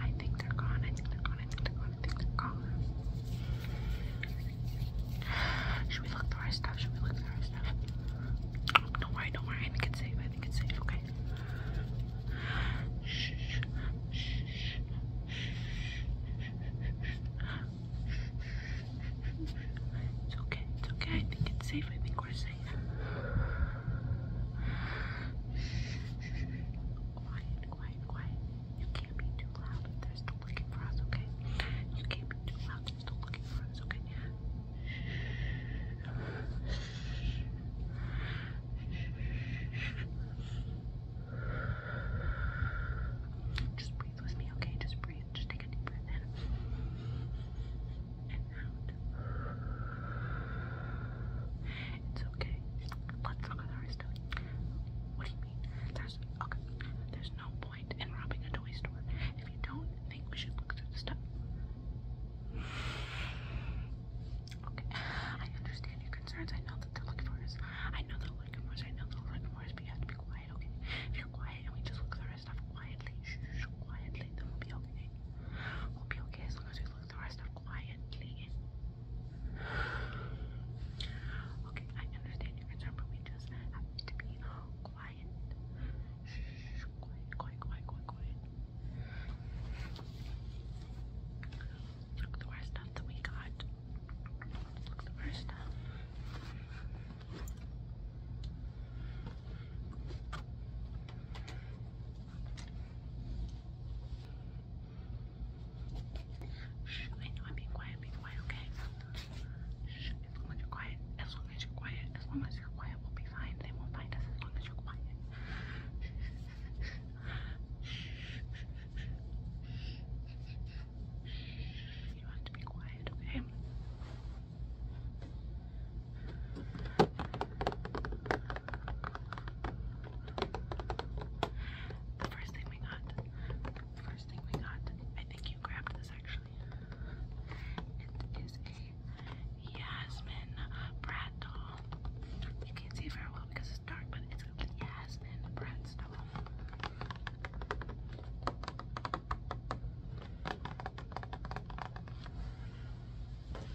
I think they're gone. I think they're gone. I think they're gone. I think they're gone. Should we look through our stuff? Should we look through our stuff? Don't worry, don't worry. I think it's safe. I think it's safe. Okay. Shh, shh, shh, shh. It's okay, it's okay. I think it's safe. I think we're safe. Quiet, quiet, quiet. You can't be too loud. They're still looking for us, okay? You can't be too loud. They're still looking for us, okay? Just breathe with me, okay? Just breathe. Just take a deep breath in it's okay. Let's look at the rest of it. What do you mean? There's okay. There's no point in robbing a toy store if you don't think we should look through the stuff. Okay. I understand your concerns. I know that they're looking for us. I know they're looking for us. I know they're looking for us, but you have to be quiet, okay? If you're quiet and we just look through our stuff quietly, shh, quietly, then we'll be okay. We'll be okay as long as we doing the rest of quietly. Okay, I understand your concern, but we just have to be quiet. Shh, quiet, quiet, quiet, quiet, Look, the rest stuff that we got. Look, the rest stuff. I know I'm being quiet. Be quiet, okay? as long as you're quiet. As long as you're quiet. As long as you're quiet, we'll be fine. They won't find us as long as you're quiet. You have to be quiet, okay? The first thing we got, the first thing we got, I think you grabbed this actually. It is a Jasmine Brat doll. You can't see very well because it's dark, but it's a Yasmin Brat doll.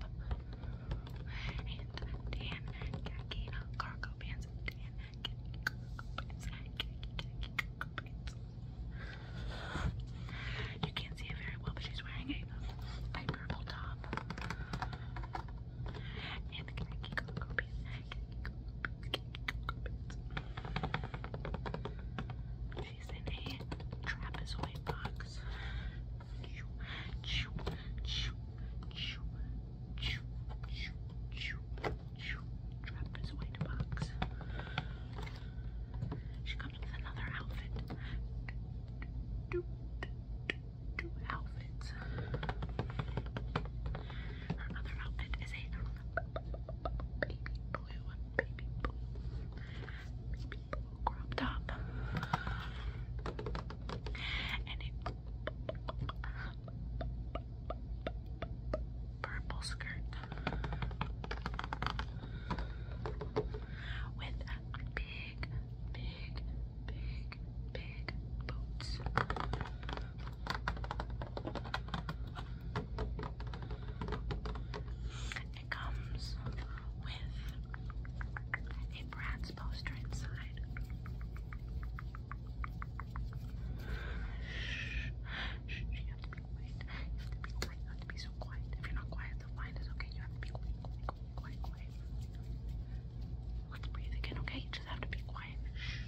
top. And tan khaki cargo pants. You can't see it very well, but she's wearing a light purple top. And She's in a trapezoid box. Focus. Chew, chew, chew, chew, chew, chew, chew, chew. Trapped his way to box. She comes with another outfit. Do, do, Her other outfit is a baby blue, baby blue, crop top. And a purple skirt with big, big, big, big boots. It comes with a Bratz poster inside. Shh, shh, you have to be quiet. You have to be quiet. You have to be so quiet. If you're not quiet, the line is okay. You have to be quiet, quiet, quiet, quiet, Let's breathe again, okay? You just have to be quiet. Shh.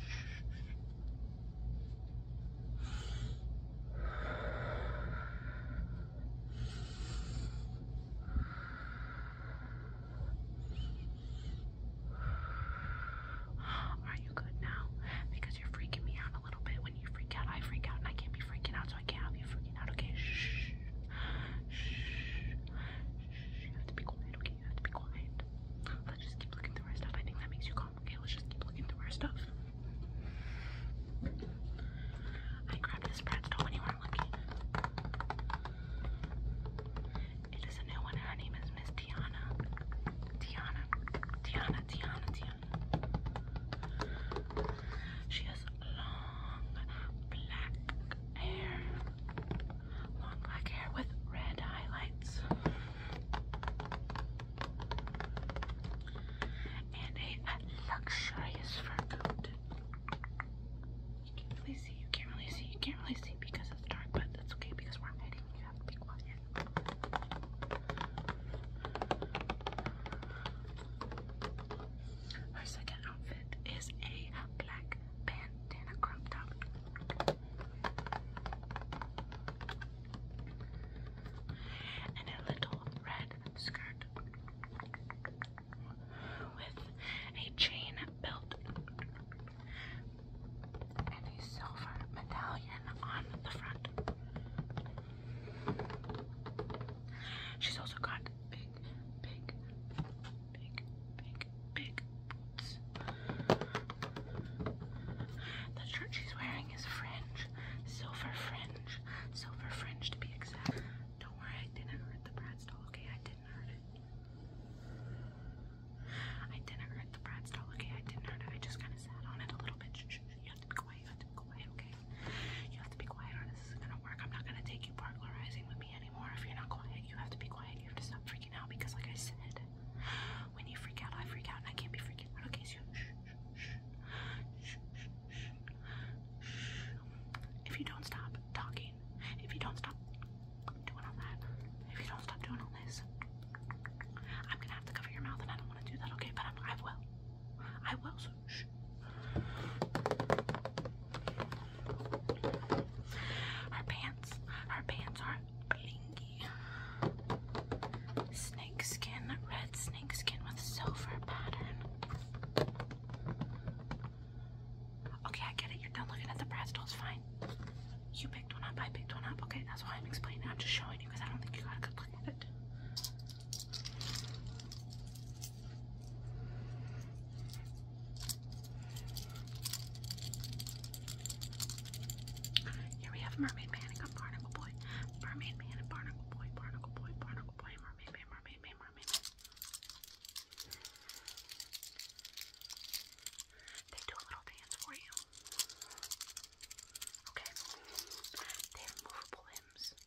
Are you good now? Because you're freaking me out a little bit. When you freak out, I freak out, and I can't be freaking out, so I can't have you freaking out. Okay, shh, shh, shh. You have to be quiet. Okay, you have to be quiet. Let's just keep looking through our stuff. I think that makes you calm. Okay, let's just keep looking through our stuff. I grabbed this pretzel when you it is a new one. Her name is Miss Tiana. Tiana. Tiana. Tiana. Tiana. She has long black hair. Long black hair with red highlights. And a luxurious fur coat. You can't really see, you can't really see, you can't really see because it's dark, but that's okay because we're hiding. You have to be quiet. Her second outfit is a black bandana crop top. And a little red skirt with a chain belt and a silver medallion on the front. She's also got big, big, big, big, big The shirt she's wearing is fringe, silver fringe, silver fringe to be exact. Don't worry, I didn't hurt the Brad doll, okay? I didn't hurt it. I didn't hurt the Bratz doll, okay? I didn't hurt it. I just kind of sat on it a little bit. Shh, You have to be quiet. You have to be quiet, okay? You have to be quiet or this is going to work. I'm not going to take you burglarizing with me anymore. If you're not quiet, you have to be quiet. You have to stop freaking out because, like I said, when you freak out, I freak out and I can't be freaking out, okay? So, shh. Shh, shh, if you don't stop talking, if you don't stop doing all that, if you don't stop doing all this, I'm gonna have to cover your mouth, and I don't want to do that. Okay, but I'm, I will. I will. So shh. Her pants, her pants are blingy. Snake skin, red snake skin with silver pattern. Okay, I get it. You're done looking at the pretzels. Fine. You picked one up. I picked one up. Okay, that's why I'm explaining. I'm just showing you because I don't think you got a good look at it. Here we have Mermaid Man and Barnacle Boy. Mermaid Man and Barnacle Boy, Barnacle Boy, Barnacle Boy, Mermaid Man, Mermaid Man, Mermaid Man. They do a little dance for you. Okay. They have movable limbs.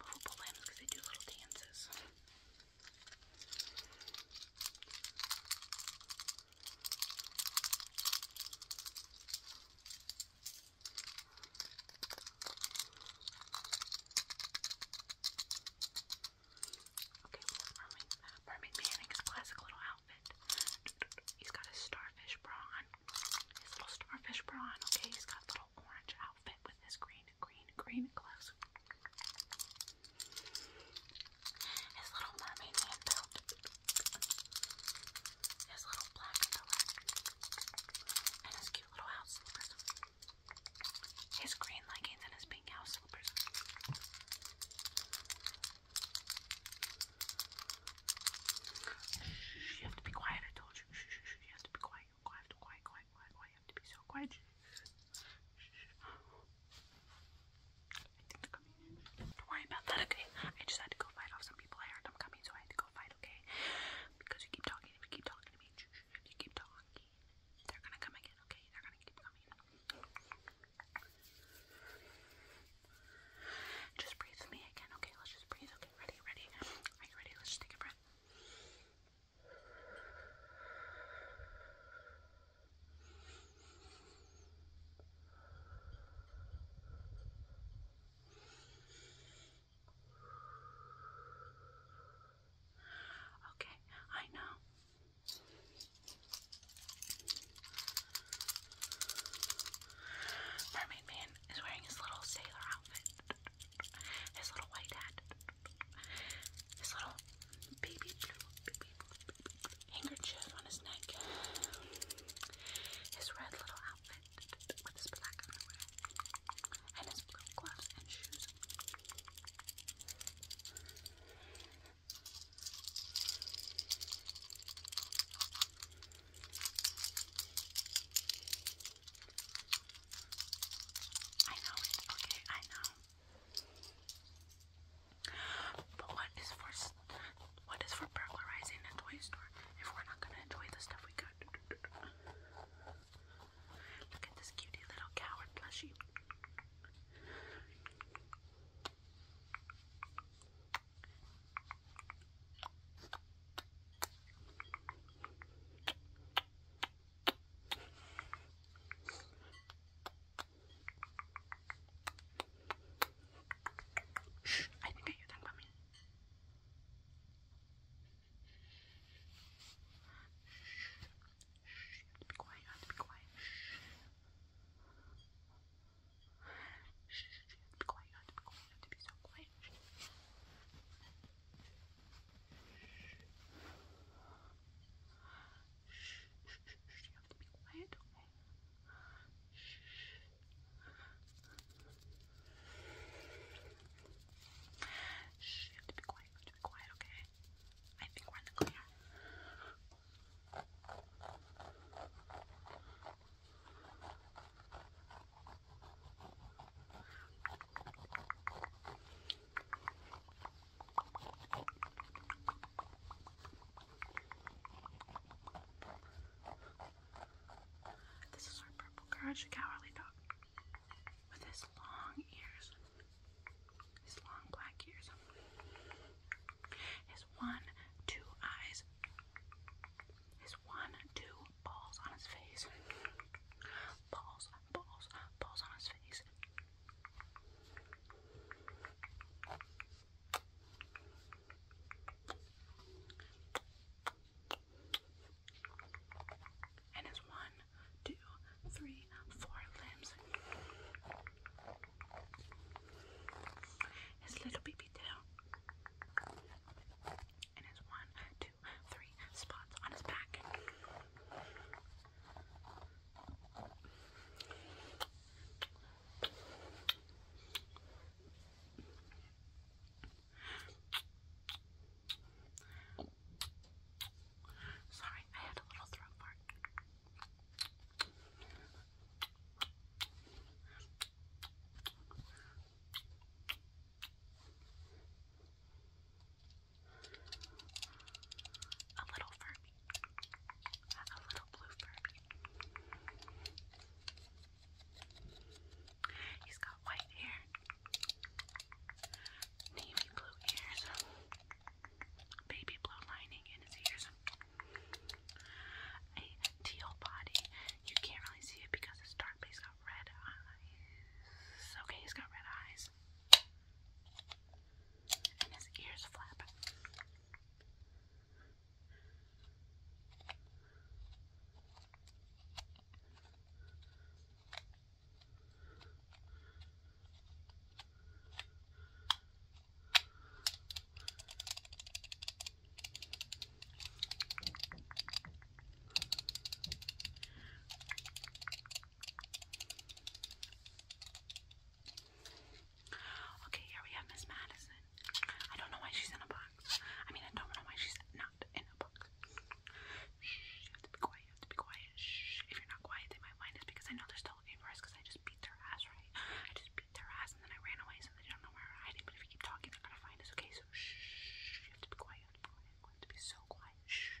Movable limbs because they do little dances. Okay, well, Mermaid, Mermaid uh, Man in his classic little outfit. He's got his starfish bra on. His little starfish bra on, okay? He's got a little orange outfit with his green, green, green gloves. His little Mermaid Man belt. His little black pillow. And his cute little house slippers his green leggings and his pink house slippers. you have to be quiet, I told you. you have to be quiet. Quiet, quiet, quiet, quiet, quiet. You have to be so quiet. Don't worry about that, okay? I just had to go fight off some people. I heard them coming, so I had to go fight, okay? Because you keep talking, you keep talking, if mean, if you keep talking, they're gonna come again, okay? They're gonna keep coming. Just breathe with me again, okay? Let's just breathe. Okay, ready, ready. Are you ready? Let's just take a breath. Okay, Okay, I know. Mermaid Man is wearing his little sailor outfit, his little white hat, his little baby blue, handkerchief on his neck, his red little outfit with his black underwear, and his gloves and shoes. I know it, okay, I know. But what is for what is for burglarizing a toy store if we're not gonna enjoy the stuff we got? Look at this cutie little coward plushie. Shh, I think I hear them coming. Shh, be quiet, be quiet. Shh, be quiet, be quiet, to be so quiet. Shh, shh, shh, you have to be quiet, okay? Shh. Shh, to be quiet, to be quiet, okay? I think we're in the clear. This is our purple courage, cowardly dog with his long ears, his long black ears, his one, two eyes, his one, two balls on his face, balls, balls, balls on his face and has one, two, three, four limbs. His little baby tail. And his one, two, three spots on his back. Sorry, I had a little throat fart. A little Furby. A little blue Furby. He's got white hair, navy blue ears, baby blue lining in his ears, a teal body. You can't really see it because it's dark, but he's got red eyes. Okay, he's got red eyes. And his ears flap. Okay, here we have Miss Madison. I don't know why she's in a box. I mean, I don't know why she's not in a box. Shh, you have to be quiet, you have to be quiet. If you're not quiet, they might mind us because I know they're still looking for us because I just beat their ass, right? I just beat their ass and then I ran away so they don't know where we're hiding. But if you keep talking, they're gonna find us, okay? So shh, you have to be quiet, you quiet, you have to be so quiet. Shh. Shh.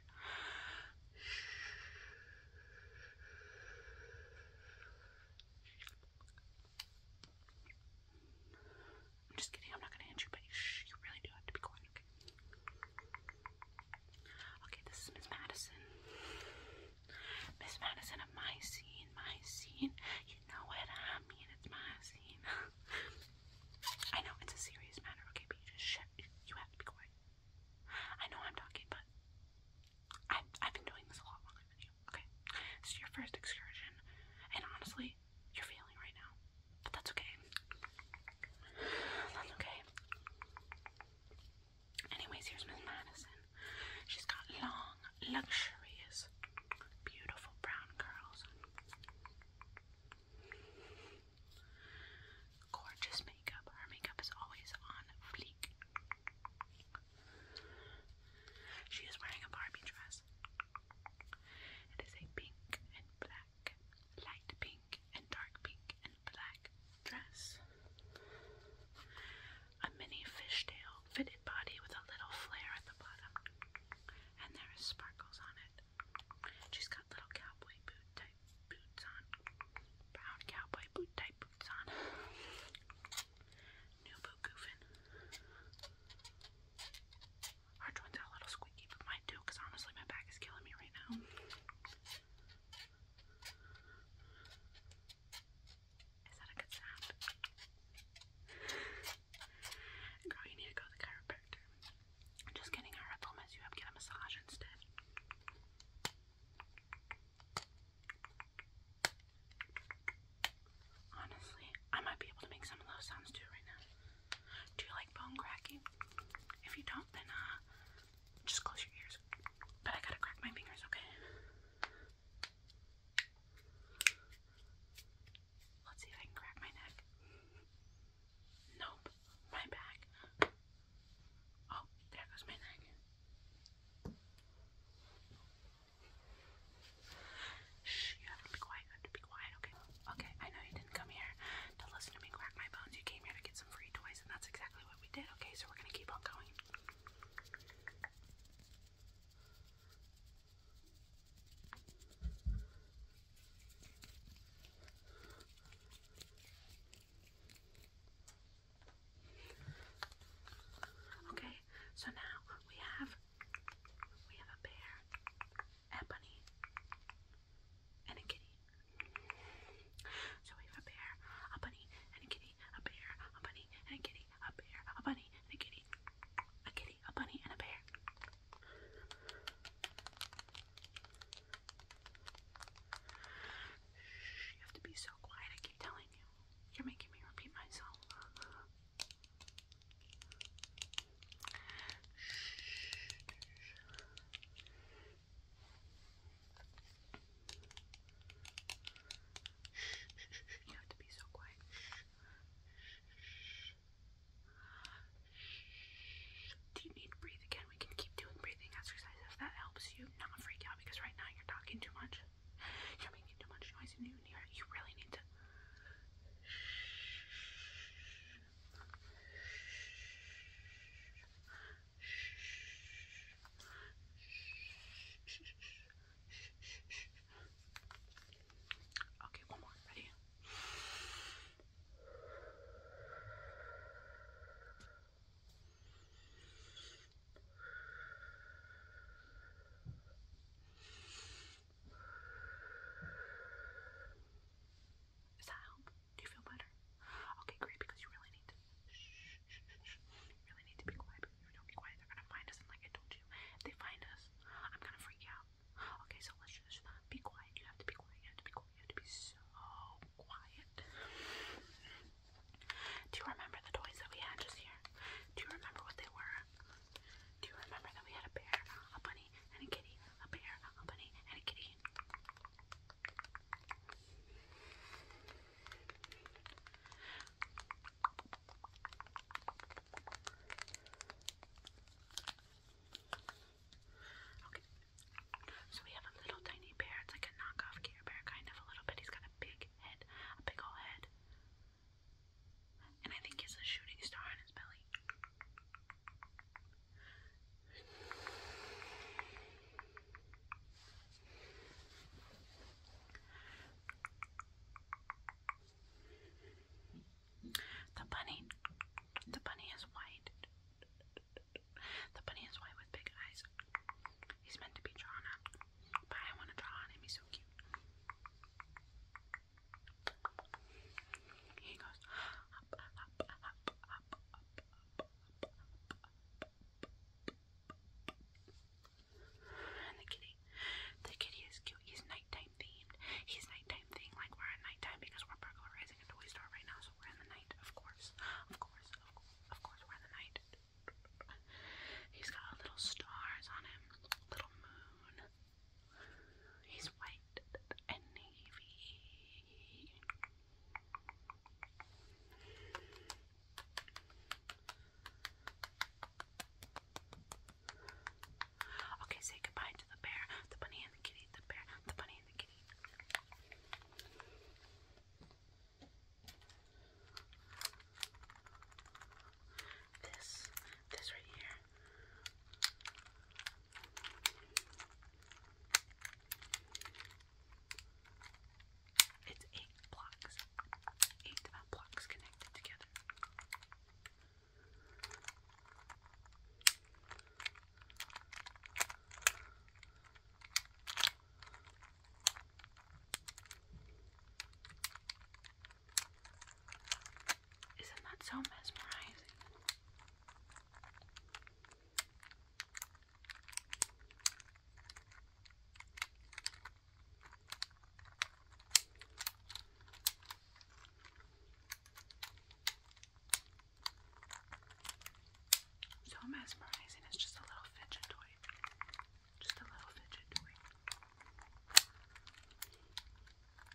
I'm just kidding. I'm not gonna hit you, but you, shh, you really do have to be quiet. Okay. Okay. This is Miss Madison. Miss Madison of my scene. My scene. You know what I mean? It's my scene. I know it's a serious matter. Okay, but you just shut. You have to be quiet. I know I'm talking, but I've I've been doing this a lot longer than you. Okay. This is your first excursion, and honestly, you're feeling right now. But that's okay. That's okay. Anyways, here's Miss Madison. She's got long, luxurious, beautiful brown curls. Gorgeous makeup. Her makeup is always on fleek. She is wearing a Barbie dress. It is a pink and black, light pink and dark pink and black dress. A mini fishtail fitted body with a little flare at the bottom. And there is sparkles on it. She's got little cowboy boot type boots on. Brown cowboy boot type boots on. New boot goofin'. Our twins are a little squeaky, but mine too, because honestly, my back is killing me right now. Is that a good sound? Girl, you need to go to the chiropractor. I'm just kidding, I will mess you get a massage instead. Honestly, I might be able to make some of those sounds too right now. Do you like bone cracking? If you don't, then uh, just close your ears. But I gotta crack my fingers, okay? Let's see if I can crack my neck. Nope, my back. Oh, there goes my neck. Shh, you have to be quiet. have to be quiet, okay? Okay, I know you didn't come here to listen to me crack my bones. You came here to get some free toys, and that's exactly what we did, okay? So we're gonna keep on going. Okay, so now we have we have a bear a bunny, and a kitty. So we have a bear, a bunny, and a kitty, a bear, a bunny, and a kitty, a bear, a bunny, and a kitty, a kitty, a bunny, and a bear. Shh, you have to be so quiet, I keep telling you. You're making me repeat myself. You have to be so quiet. Do you need to breathe again? We can keep doing breathing exercises if that helps you not freak out because right now you're talking too much. You're making too much noise and you, you really need to Okay, one more. Ready? Does that help? Do you feel better? Okay, great, because you really need to shh, shh, shh, You really need to be quiet you don't be quiet, they're gonna find us and like I told you, if they find us, I'm gonna freak out. Okay, so let's just be quiet. You have to be quiet, you have to be quiet, you have to be so quiet. Do you remember the toys that we had just here? Do you remember what they were? Do you remember that we had a bear, a bunny, and a kitty, so we have a little tiny bear. It's like a knockoff Care Bear, kind of a little bit. He's got a big head, a big old head, and I think it's a shooting star on his belly. The bunny, the bunny is white. The bunny is white with big eyes. He's meant to be drawn I want to draw him. He's so cute. He goes up, up, up, up, up, up, up, up. And the kitty, the kitty is cute. He's nighttime themed. He's nighttime themed. Like we're at nighttime because we're burglarizing a toy store right now, so we're in the night, of course, of course, of course, of course, we're in the night. He's got little stars on him, little moon. He's white and navy. Okay, say goodbye to the bear, the bunny and the kitty, the bear, the bunny and the kitty this, this right here. It's eight blocks, eight blocks connected together. Isn't that so mesmerizing? So mesmerizing, it's just a little fidget toy. Just a little fidget toy.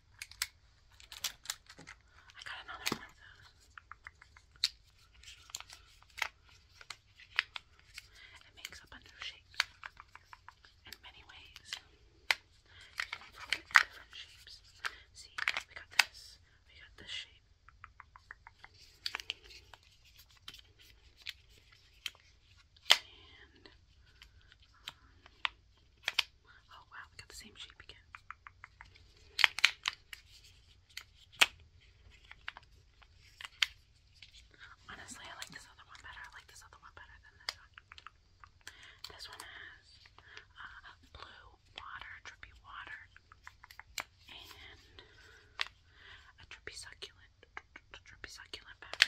I got another one It makes up a new in many ways. You can fold it in different shapes. See, we got this, we got this shape. And Oh wow, we got the same shape again. Honestly, I like this other one better. I like this other one better than this one. This one has uh, blue water, drippy water, and a drippy succulent, a succulent bag.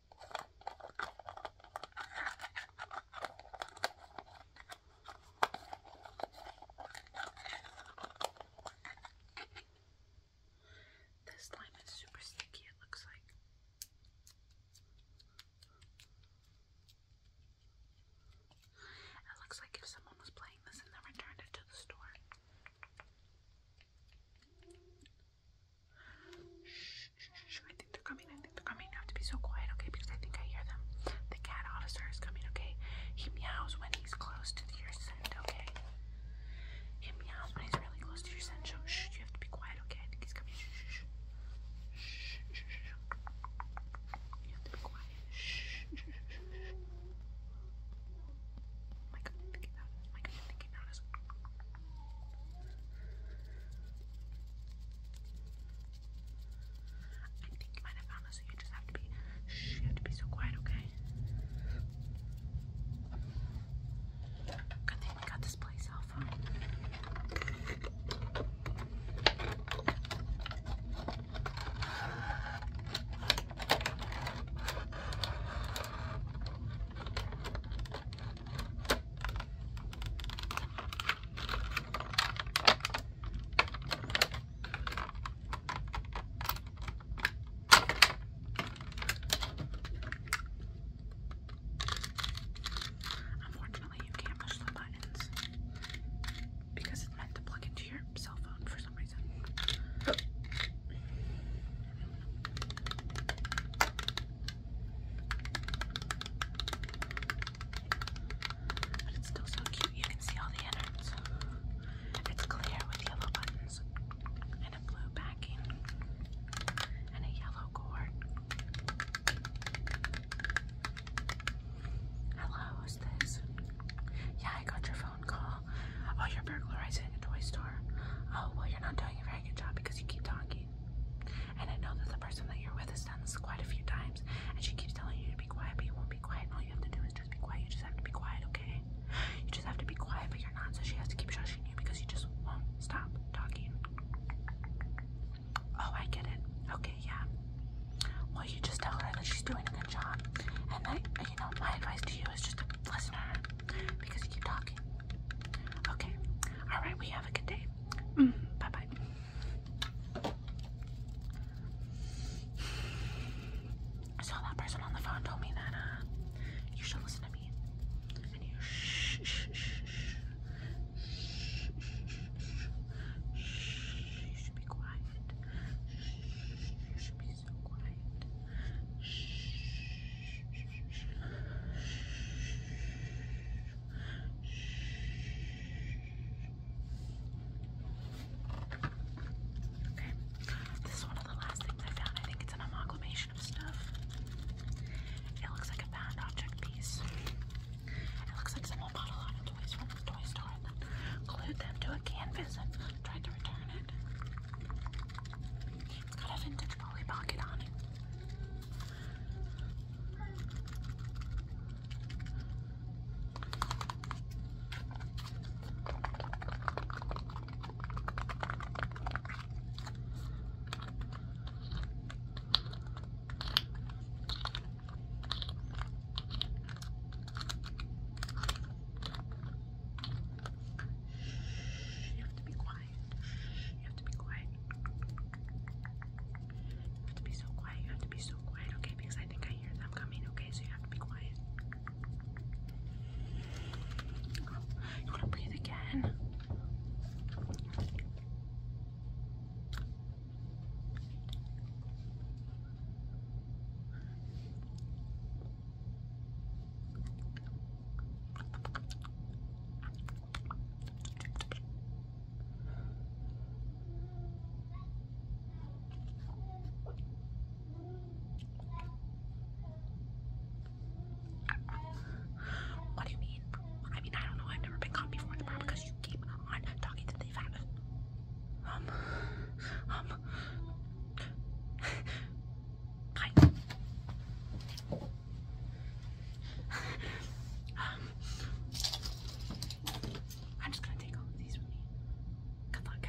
This slime is super sticky, it looks like. It looks like if someone was playing this and then returned it to the store. Shh, shh, shh, I think they're coming. I think they're coming. I have to be so quiet, okay? Because I think I hear them. The cat officer is coming, okay? He meows when he's close to your scent, okay? He meows when he's really close to your scent. So, shh, you have to be quiet, okay? I think he's coming. Shh, shh, shh. You have to be quiet. Shh, shh, shh. Oh my god, I think he found us. Oh my god, I think he found us. I think you might have found this, you just have to be you have to be so quiet, okay? Good thing we got this place cell phone. Unfortunately, you can't push the buttons because it's meant to plug into your cell phone for some reason. But it's still so cute. You can see all the innards. It's clear with yellow buttons and a blue backing and a yellow cord. Hello, who's this? Yeah, I got your phone call. Oh, you're burglarizing a toy store. Oh, well, you're not doing a very good job because you keep talking. And I know that the person that you're with has done this quite a few times, and she keeps telling you to be quiet, but you won't be quiet. And all you have to do is just be quiet. You just have to be quiet, okay? You just have to be quiet, but you're not. So she has to keep shushing you because you just won't stop talking. Oh, I get it. Okay, yeah. Well, you just tell her that she's doing a good job, and that you know my advice to you is just to listen to her because you keep talking. Okay. All right. We have a good day. Mm, bye bye. So that person on the phone told me that you should listen to me, and you shh shh shh shh shh shh shh. You should be quiet. Shh, you should be so quiet. Shh. Okay, this is one of the last things I found. I think it's an amalgamation of stuff. It looks like a bound object piece. It looks like someone bought a lot of toys from the toy store and then glued them to a canvas and tried to return it. It's got a vintage Chipotle pocket on it. Shh, you have to be quiet. You have to be quiet. You have to be so quiet. You have to be so quiet, okay? Because I think I hear them coming, okay? So you have to be quiet. you want to breathe again? What do you mean? I mean, I don't know. I've never been caught before the bar because you keep on talking to the fan. Um, um. I'm just gonna take all of these with me. Good luck.